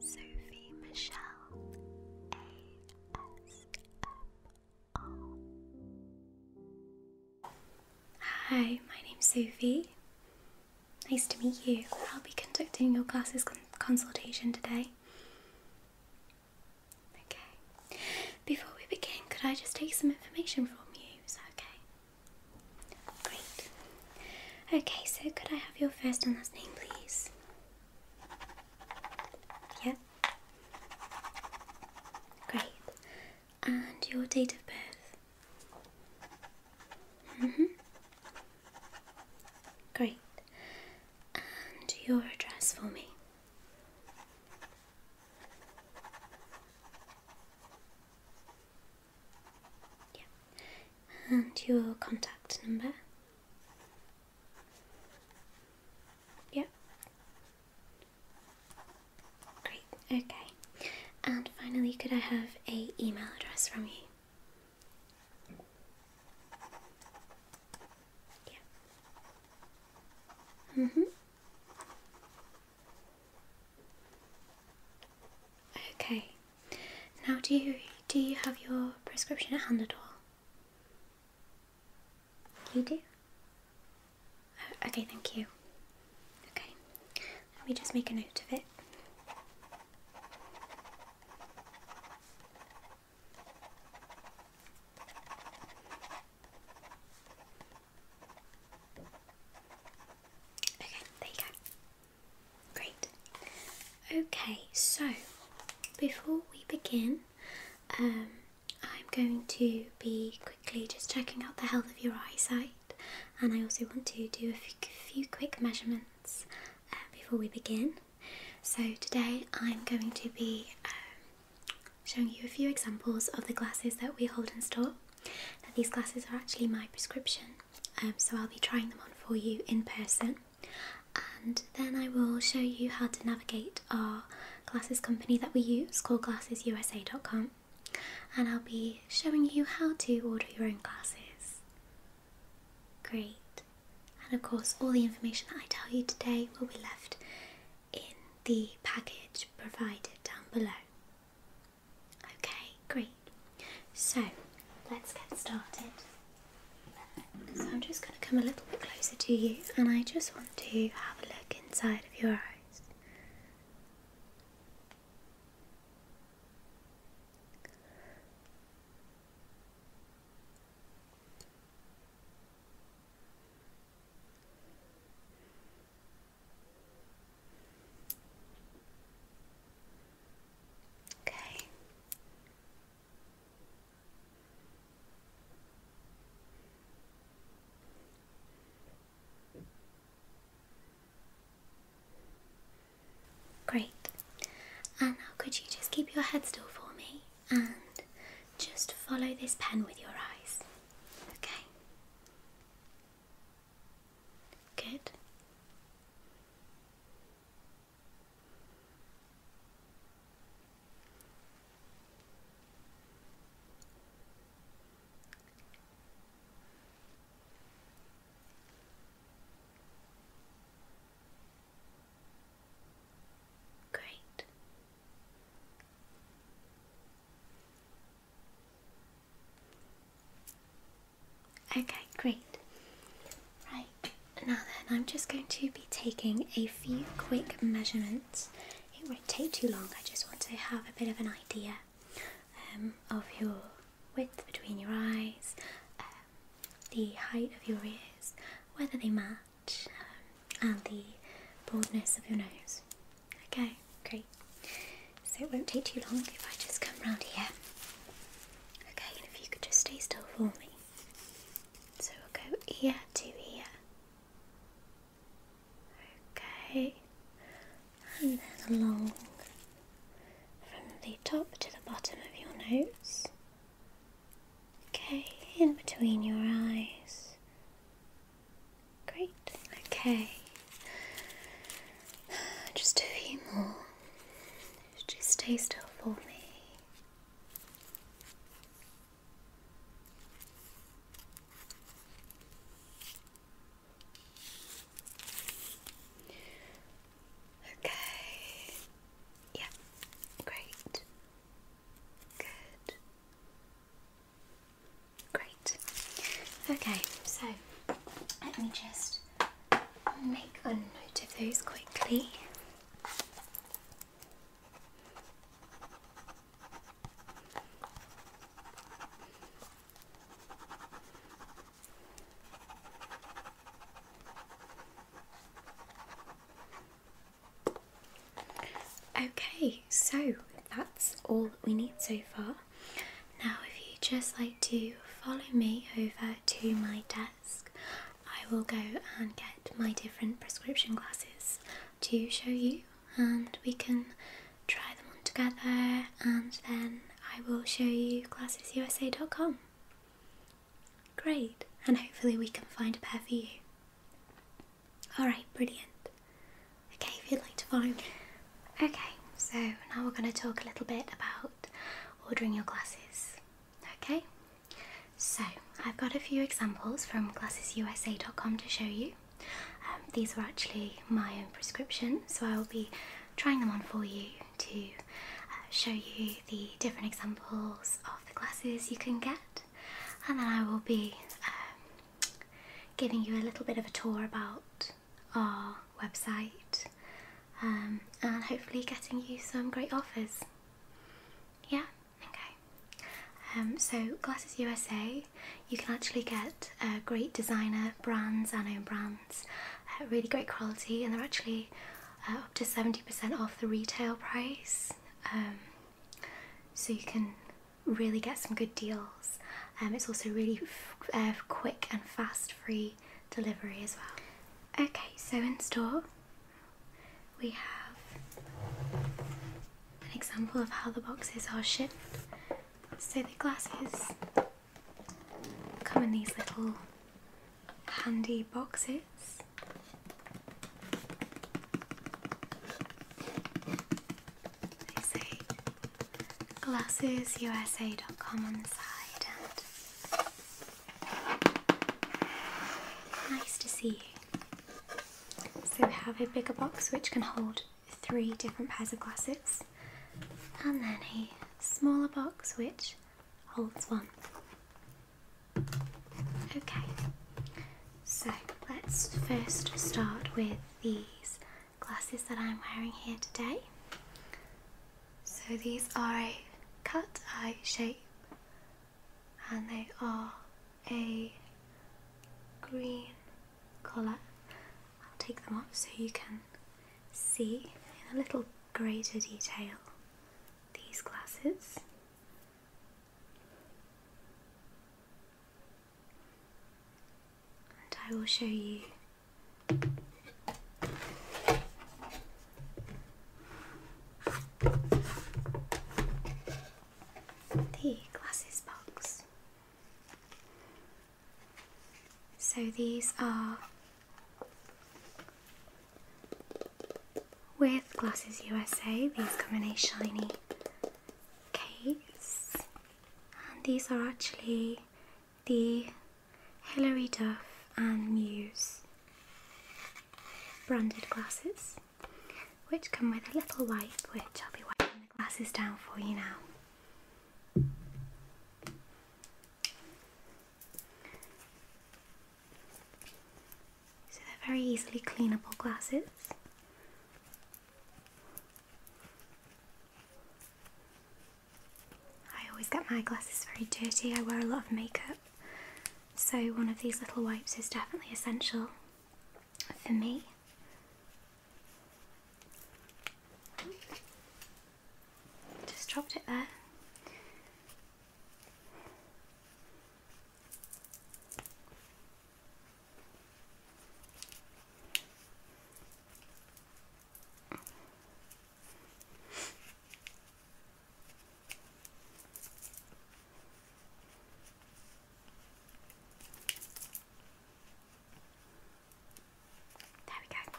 Sophie Michelle ASMR. Hi, my name's Sophie. Nice to meet you. I'll be conducting your classes consultation today. Okay. Before we begin, could I just take some information from you? Is that okay? Great. Okay, so could I have your first and last name, please? Yeah. Great. And your date of birth? Mm hmm. Great. And your address for me? Yeah. And your contact number? Yeah. Great, okay. And finally, could I have a email address from you? Yeah. Mm-hmm. Okay, now, do you do you have your prescription at hand at all? You do. Oh, okay, thank you. Okay, let me just make a note of it. Okay, there you go. Great. Okay, so before we begin, um, I'm going to be quickly just checking out the health of your eyesight, and I also want to do a few quick measurements uh, before we begin. So, today I'm going to be um, showing you a few examples of the glasses that we hold in store. these glasses are actually my prescription um, so I'll be trying them on for you in person and then I will show you how to navigate our glasses company that we use called glassesusa.com and I'll be showing you how to order your own glasses. Great. And of course, all the information that I tell you today will be left in the package provided down below. Okay, great. So let's get started. So I'm just going to come a little bit closer to you and I just want to have a look inside of your eyes. Okay. Great. And now could you just keep your head still for me and just follow this pen with your eyes? Okay. Good. Great. Okay, great. Right, now then, I'm just going to be taking a few quick measurements. It won't take too long, I just want to have a bit of an idea um, of your width between your eyes, um, the height of your ears, whether they match, um, and the baldness of your nose. Okay, great. So it won't take too long if I just come round here. Okay, and if you could just stay still for me. So we'll go here to here. Okay, and then along from the top to the bottom of your nose. Okay, in between your eyes. Great, okay. Just a few more. Just stay still for me. Okay. Yeah. Great. Good. Great. Okay, so let me just make a note of those quickly. Okay, so that's all that we need so far. Now, if you'd just like to follow me over to my desk, I will go and get my different prescription glasses to show you, and we can try them on together, and then I will show you glassesusa.com. Great, and hopefully, we can find a pair for you. Alright, brilliant. Okay, if you'd like to follow Okay, so now we're going to talk a little bit about ordering your glasses. Okay, so I've got a few examples from glassesusa.com to show you. Um, these are actually my own prescription, so I will be trying them on for you to uh, show you the different examples of the glasses you can get, and then I will be um, giving you a little bit of a tour about our website um, and hopefully getting you some great offers. Yeah, okay. Um, so, Glasses USA, you can actually get uh, great designer brands and own brands, uh, really great quality, and they're actually uh, up to 70% off the retail price. Um, so, you can really get some good deals. it's also really quick and fast free delivery as well. Okay, so in store we have an example of how the boxes are shipped. So the glasses come in these little handy boxes. They say glassesusa.com on the side and nice to see you. So we have a bigger box which can hold three different pairs of glasses and then a smaller box which holds one. Okay, so let's first start with these glasses that I'm wearing here today. So these are a cut eye shape and they are a green colour. I'll take them off so you can see in a little greater detail these glasses. And I will show you the glasses box. So these are with Glasses USA, these come in a shiny case, and these are actually the Hilary Duff and Muse branded glasses which come with a little wipe which I'll be wiping the glasses down for you now. So they're very easily cleanable glasses. I always get my glasses very dirty, I wear a lot of makeup, so one of these little wipes is definitely essential for me. Just dropped it there. There we go.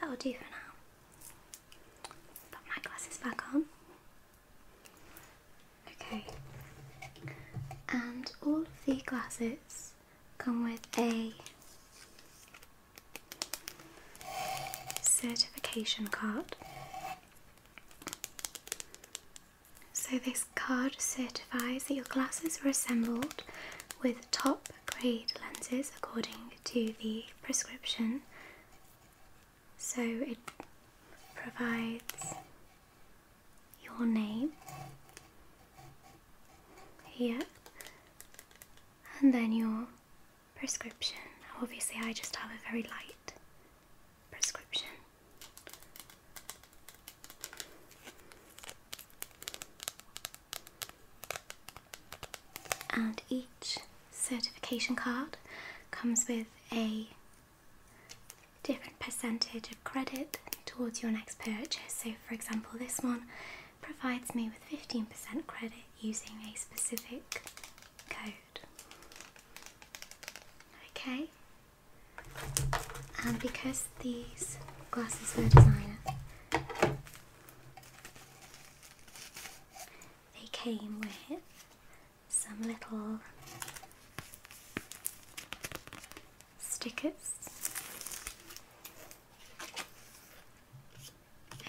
That will do for now. Put my glasses back on. Okay. And all of the glasses come with a certification card. So, this card certifies that your glasses were assembled with top grade lenses according to the prescription. So, it provides your name here and then your prescription. Obviously, I just have a very light prescription. And each certification card comes with a different percentage of credit towards your next purchase. So, for example, this one provides me with 15% credit using a specific code. Okay, and because these glasses were designer, they came with some little stickers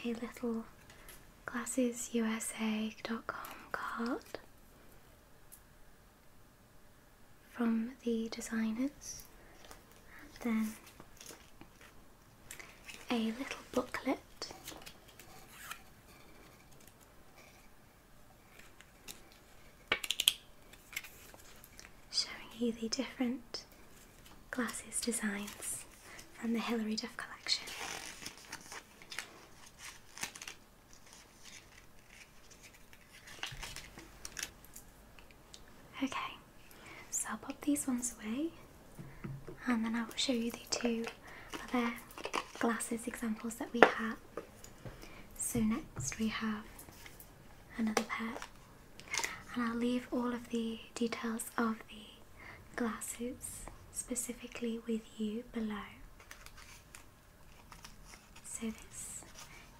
a little glassesusa.com card from the designers and then a little booklet showing you the different glasses designs from the Hilary Duff collection. Okay, so I'll pop these ones away and then I will show you the two other glasses examples that we have. So next we have another pair. And I'll leave all of the details of the glasses specifically with you below. So this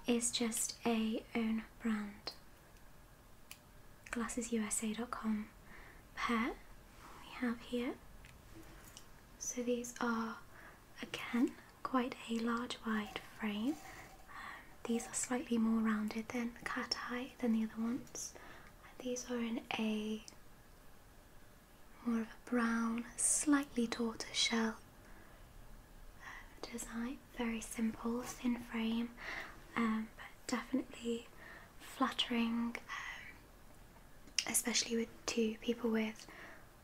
is just a own brand glassesusa.com pair we have here. So these are again quite a large wide frame um, these are slightly more rounded than cat eye than the other ones. these are in a more of a brown, slightly tortoise shell uh, design. Very simple, thin frame, um, but definitely flattering, um, especially with two people with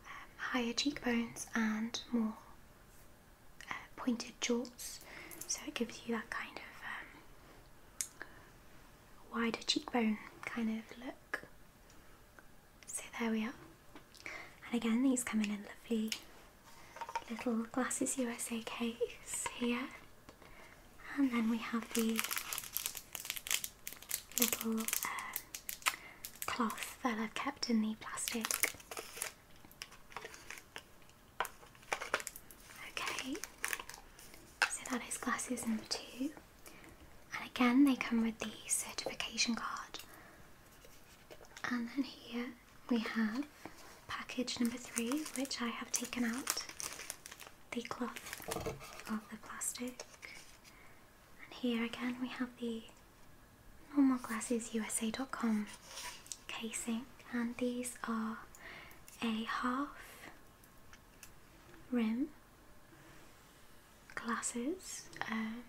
um, higher cheekbones and more uh, pointed jorts, so it gives you that kind of um, wider cheekbone kind of look. So there we are. And again, these come in a lovely little Glasses USA case here. And then we have the little um, cloth that I've kept in the plastic Okay, so that is glasses number two, and again they come with the certification card. And then here we have package number three, which I have taken out the cloth of the plastic. And here again we have the normal glasses USA.com casing, and these are a half rim glasses. Um,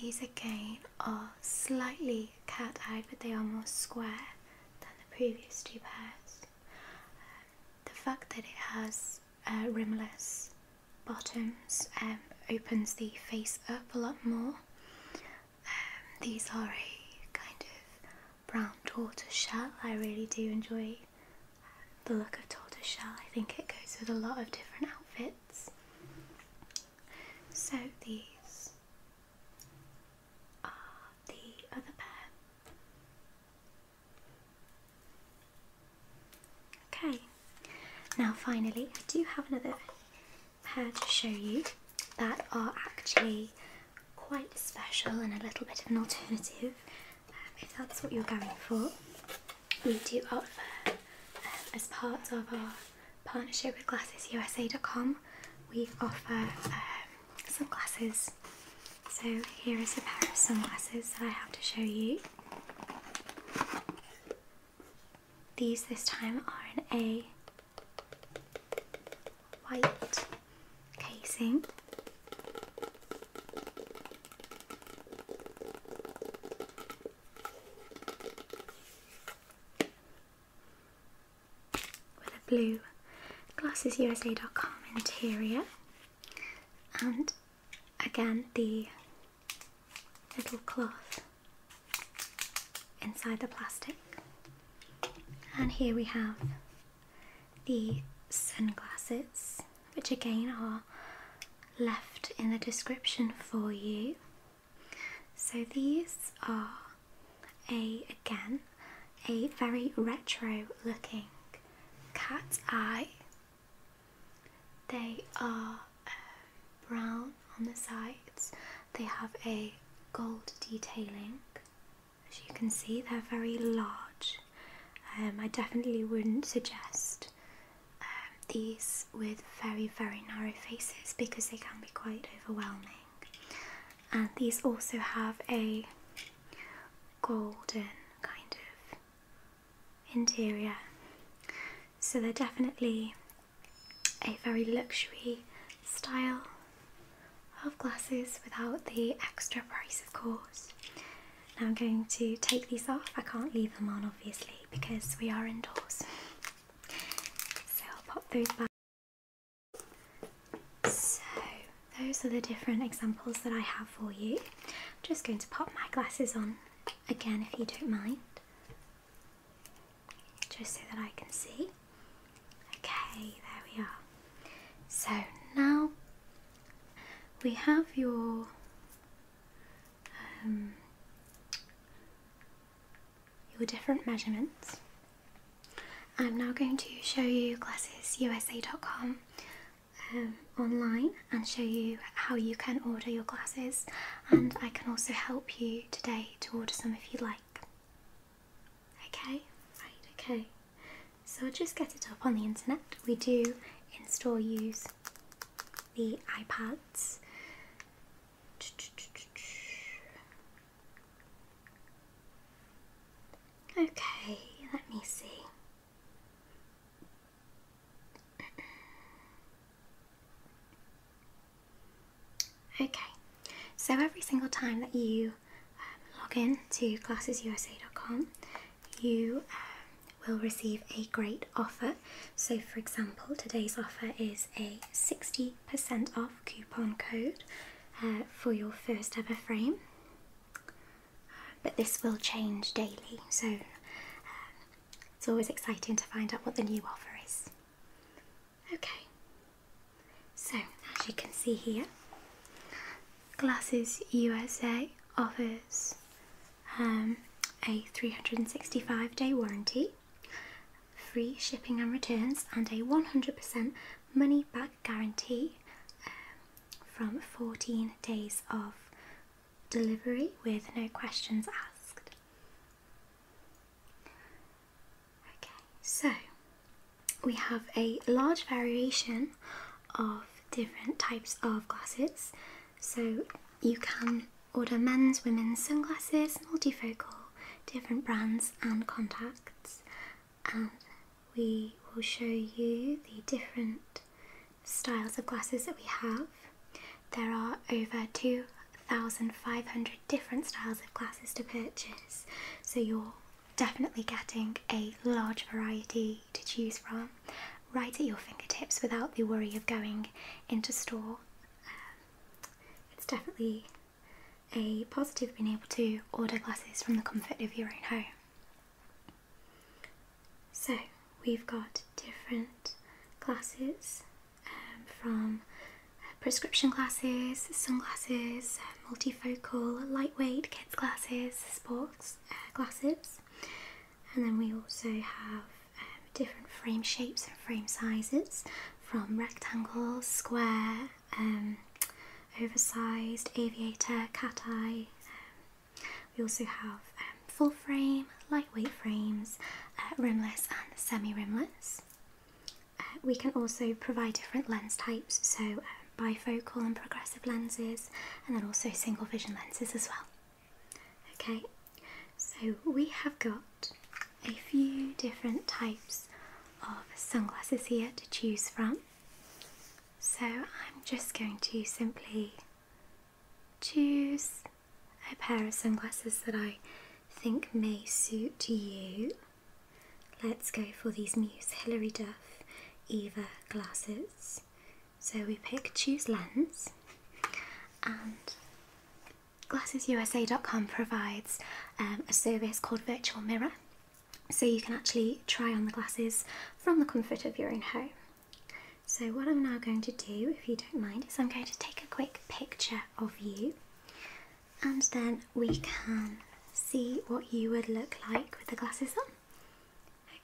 these again are slightly cat eye, but they are more square than the previous two pairs. Um, the fact that it has uh, rimless bottoms um, opens the face up a lot more. Um, these are a kind of brown tortoise shell. I really do enjoy um, the look of tortoise shell. I think it goes with a lot of different outfits. So these are the other pair. Okay, now finally I do have another hair to show you that are actually quite special and a little bit of an alternative um, if that's what you're going for. We do offer, um, as part of our partnership with GlassesUSA.com, we offer um, sunglasses. So here is a pair of sunglasses that I have to show you. These this time are in a white casing. With a blue glassesusa.com interior, and again the little cloth inside the plastic. And here we have the sunglasses, which again are left in the description for you. So these are a again a very retro looking cat eye. They are uh, brown on the sides. They have a gold detailing. As you can see, they're very large. Um, I definitely wouldn't suggest um, these with very, very narrow faces because they can be quite overwhelming. And these also have a golden kind of interior. So they're definitely a very luxury style of glasses without the extra price, of course. Now I'm going to take these off. I can't leave them on, obviously, because we are indoors. So I'll pop those back. So those are the different examples that I have for you. I'm just going to pop my glasses on again, if you don't mind just so that I can see. Okay, there we are. So now we have your um, your different measurements. I'm now going to show you glassesusa.com um, online and show you how you can order your glasses and I can also help you today to order some if you like. Okay, right, okay. So i just get it up on the internet. We do in store use the iPads. Okay, let me see. Okay, so every single time that you um, log in to classesusa.com, you um, will receive a great offer. So, for example, today's offer is a 60% off coupon code uh, for your first ever frame, but this will change daily. So, um, it's always exciting to find out what the new offer is. Okay, so as you can see here, Glasses USA offers um, a 365 day warranty, free shipping and returns, and a 100% money back guarantee um, from 14 days of delivery with no questions asked. Okay, so we have a large variation of different types of glasses. So you can order men's, women's sunglasses, multifocal, different brands and contacts. And we will show you the different styles of glasses that we have. There are over 2,500 different styles of glasses to purchase, so you're definitely getting a large variety to choose from right at your fingertips without the worry of going into store. Um, it's definitely a positive being able to order glasses from the comfort of your own home. So we've got different glasses from prescription glasses, sunglasses, uh, multifocal, lightweight kids glasses, sports uh, glasses, and then we also have um, different frame shapes and frame sizes from rectangles, square, um, oversized, aviator, cat eye. Um, we also have full frame, lightweight frames, uh, rimless and semi-rimless. Uh, we can also provide different lens types, so uh, bifocal and progressive lenses, and then also single vision lenses as well. Okay, so we have got a few different types of sunglasses here to choose from. So I'm just going to simply choose a pair of sunglasses that I think may suit you. Let's go for these Muse Hilary Duff Eva glasses. So we pick choose lens and glassesusa.com provides um, a service called virtual mirror so you can actually try on the glasses from the comfort of your own home. So what I'm now going to do, if you don't mind, is I'm going to take a quick picture of you, and then we can see what you would look like with the glasses on.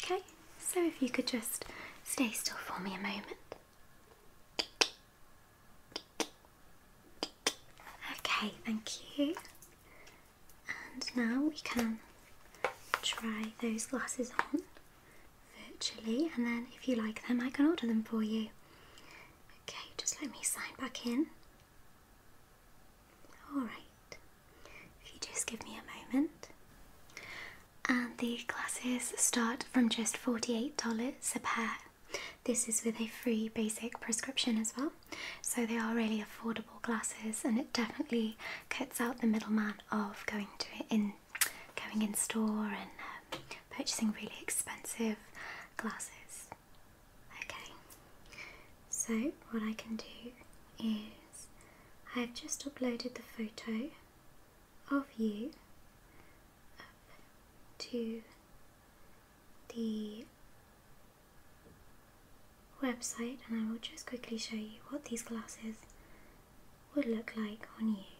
Okay, so if you could just stay still for me a moment. Okay, thank you. And now we can try those glasses on virtually, and then if you like them, I can order them for you. Okay, just let me sign back in. Alright, if you just give me a moment. And the glasses start from just $48 a pair. This is with a free basic prescription as well, so they are really affordable glasses and it definitely cuts out the middleman of going to in going in store and um, purchasing really expensive glasses. Okay, so what I can do is I've just uploaded the photo of you to the website and I will just quickly show you what these glasses would look like on you.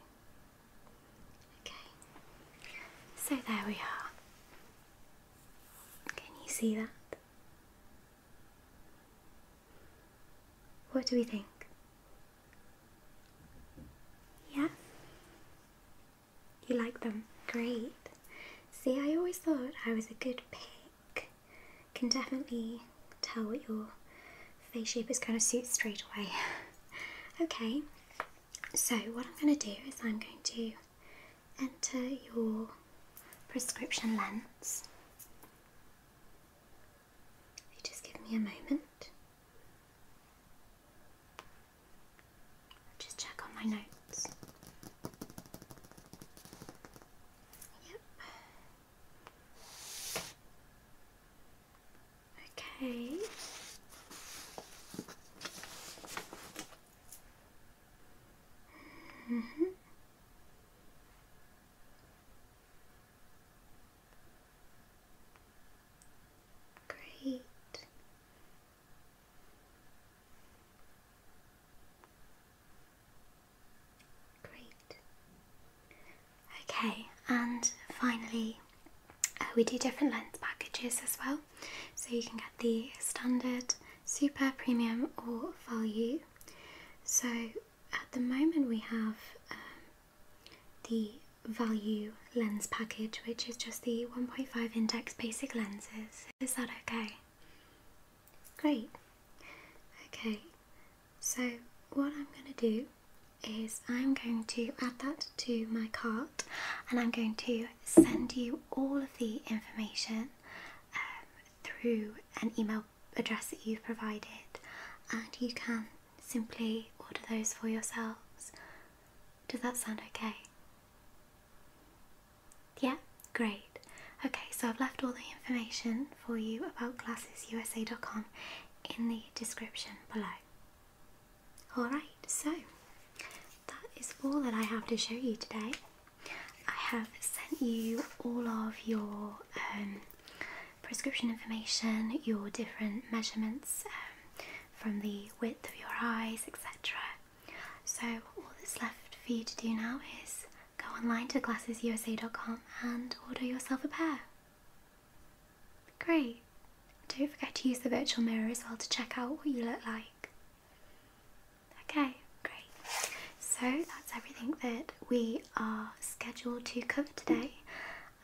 Okay, so there we are. Can you see that? What do we think? Yeah? You like them? Great. See, I always thought I was a good pick. Can definitely tell what your face shape is going to suit straight away. okay, so, what I'm going to do is I'm going to enter your prescription lens. just give me a moment, just check on my notes. Yep. Okay. Mm -hmm. Great. Great. Okay, and finally, uh, we do different lens packages as well. So you can get the standard, super, premium, or value. So at the moment, we have um, the value lens package, which is just the 1.5 index basic lenses. Is that okay? Great. Okay, so what I'm going to do is I'm going to add that to my cart and I'm going to send you all of the information um, through an email address that you've provided and you can simply order those for yourselves. Does that sound okay? Yeah, great. Okay, so I've left all the information for you about GlassesUSA.com in the description below. Alright, so that is all that I have to show you today. I have sent you all of your um, prescription information, your different measurements um, from the width of your eyes, etc. So, all that's left for you to do now is go online to glassesusa.com and order yourself a pair. Great. Don't forget to use the virtual mirror as well to check out what you look like. Okay, great. So that's everything that we are scheduled to cover today.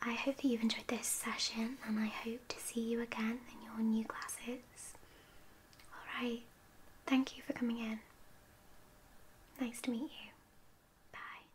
I hope that you've enjoyed this session and I hope to see you again in your new classes. Alright, thank you for coming in. Nice to meet you. Bye.